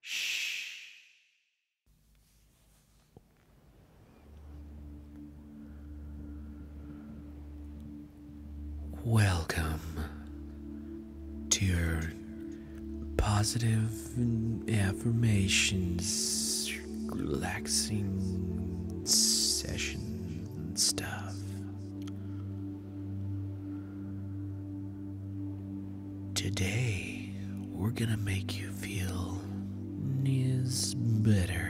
Shh. Welcome to your positive affirmations, relaxing session stuff. Today, we're gonna make you feel is better.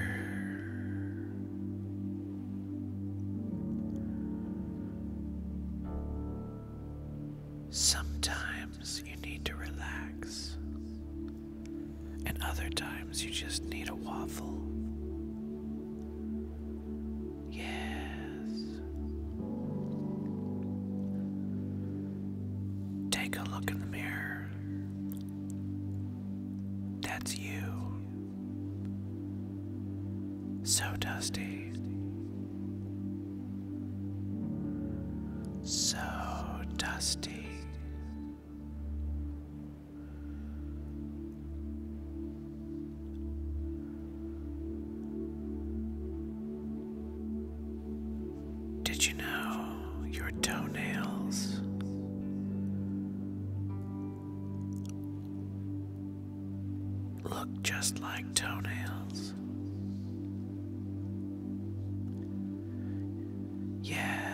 Sometimes you need to relax, and other times you just need a waffle. Yes. Take a look in the mirror. That's you. So dusty. So dusty. Did you know your toenails look just like toenails? Yes.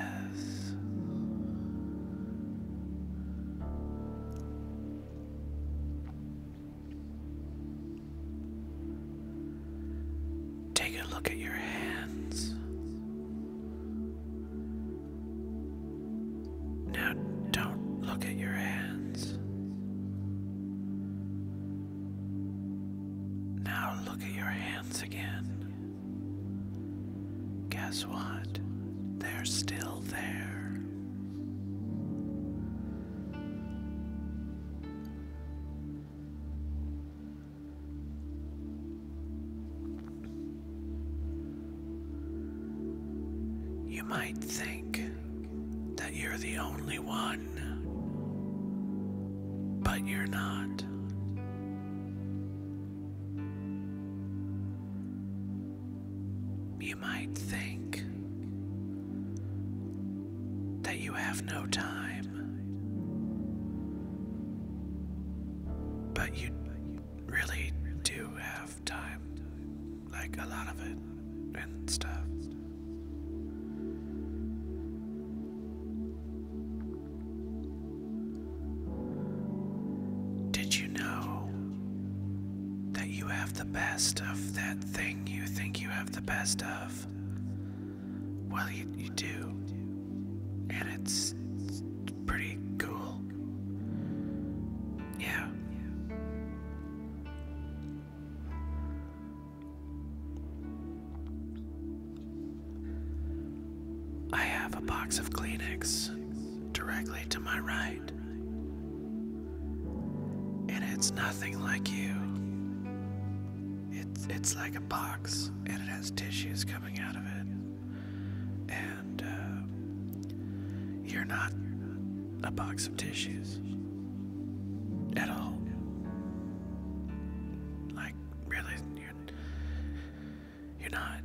Take a look at your hands. Now, don't look at your hands. Now, look at your hands again. Guess what? They're still there. You might think that you're the only one, but you're not. You might think that you have no time, but you really do have time like a lot of it and stuff. Did you know that you have? the best of that thing you think you have the best of. Well, you, do. And it's, it's pretty cool. Yeah. I have a box of Kleenex directly to my right. And it's nothing like you. It's, it's like a box, and it has tissues coming out of it. And uh, you're not a box of tissues at all. Like, really, you're, you're not.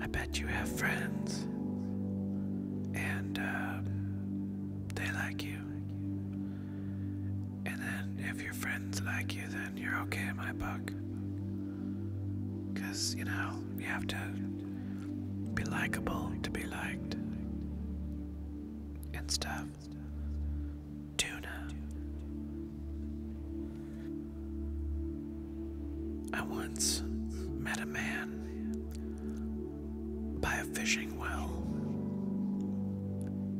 I bet you have friends, and um, they like you. And then, if your friends like you, then you're okay in my book. Because, you know, you have to be likable to be liked and stuff. Tuna. I once met a man by a fishing well,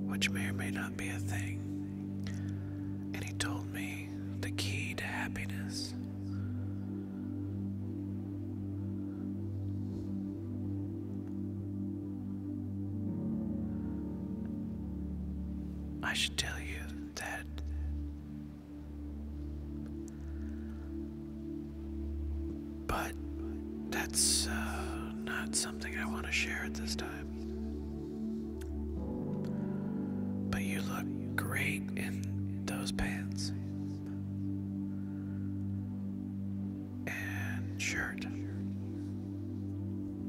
which may or may not be a thing, and he told me the key to happiness I should tell you that but that's uh, not something I want to share at this time. But you look great in those pants and shirt.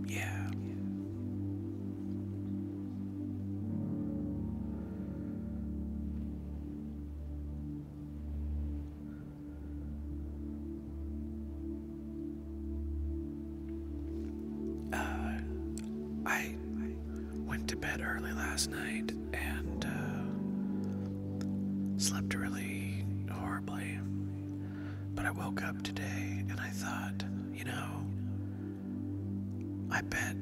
Yeah. Uh, I went to bed early last night and uh, slept really horribly. But I woke up today and I thought, you know, I bet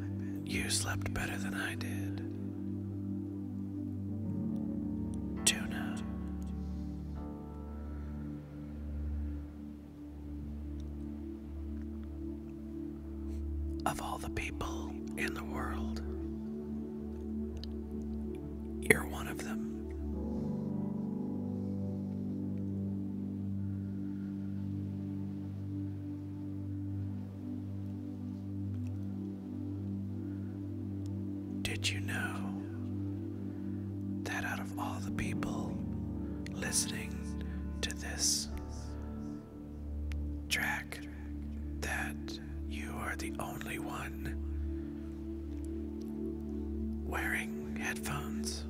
you slept better than I did. Tuna. Of all the people in the world, you're one of them. Did you know that out of all the people listening to this track that you are the only one wearing headphones.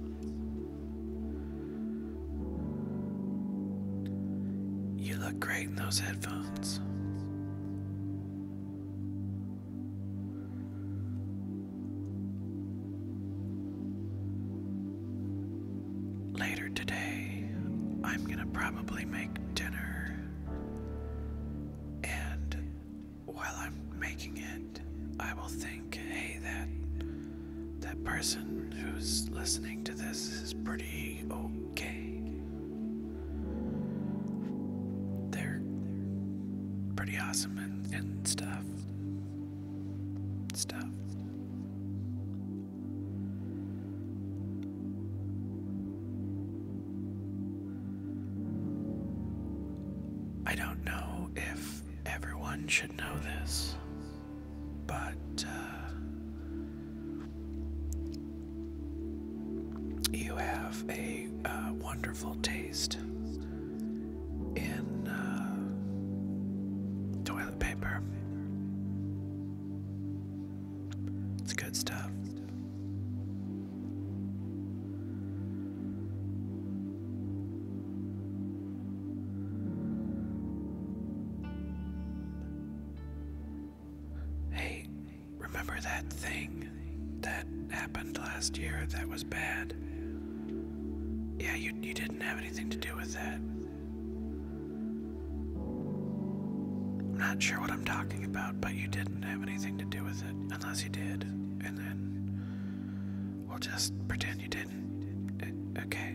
You look great in those headphones. Later today, I'm gonna probably make dinner. And while I'm making it, I will think, hey, that that person who's listening to this is pretty okay. They're pretty awesome and stuff. Stuff. I don't know if everyone should know this, but uh, you have a uh, wonderful taste in uh, toilet paper. It's good stuff. Hey, remember that thing that happened last year that was bad? Yeah, you, you didn't have anything to do with that. I'm not sure what I'm talking about, but you didn't have anything to do with it, unless you did, and then we'll just pretend you didn't. Uh, okay.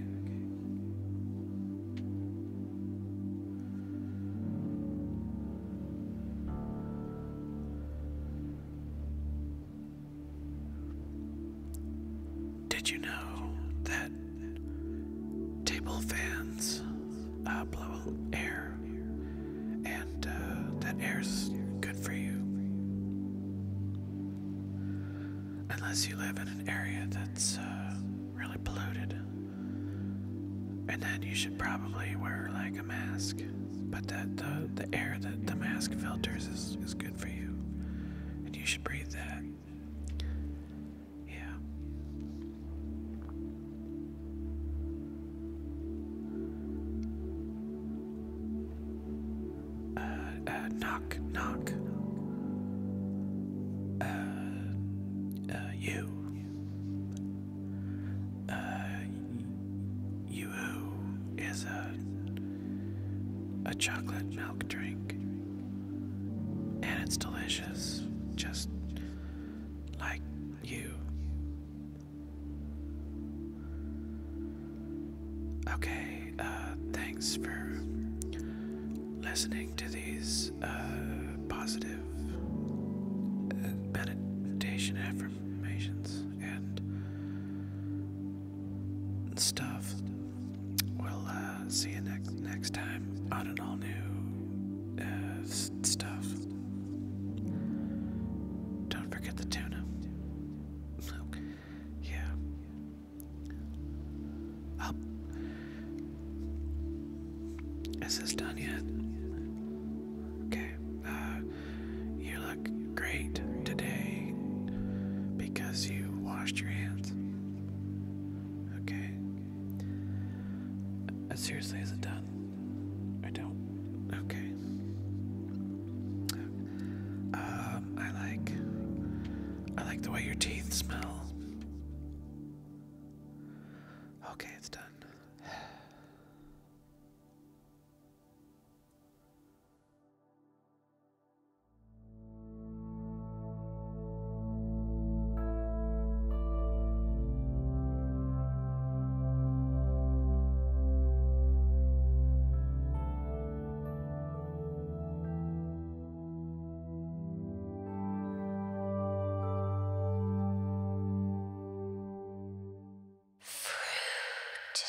Did you know that table fans uh, blow air, and uh, that air is good for you? Unless you live in an area that's uh, really polluted, and then you should probably wear like a mask. But that the the air that the mask filters is is good for you, and you should breathe that. Yeah. Uh, uh, knock, knock. Uh, you. you who is a a chocolate milk drink. And it's delicious, just like you. Okay, uh, thanks for listening to these uh, positive uh, meditation affirmations and stuff. We'll uh, see you next next time on an all new uh, stuff. Don't forget the tuna. yeah. Up. Is this done yet? Okay. Uh, you look great today because you washed your hands. Okay. Uh, seriously, as it done? I don't. Okay. Um, I like. I like the way your teeth smell. Okay, it's done. Fruit.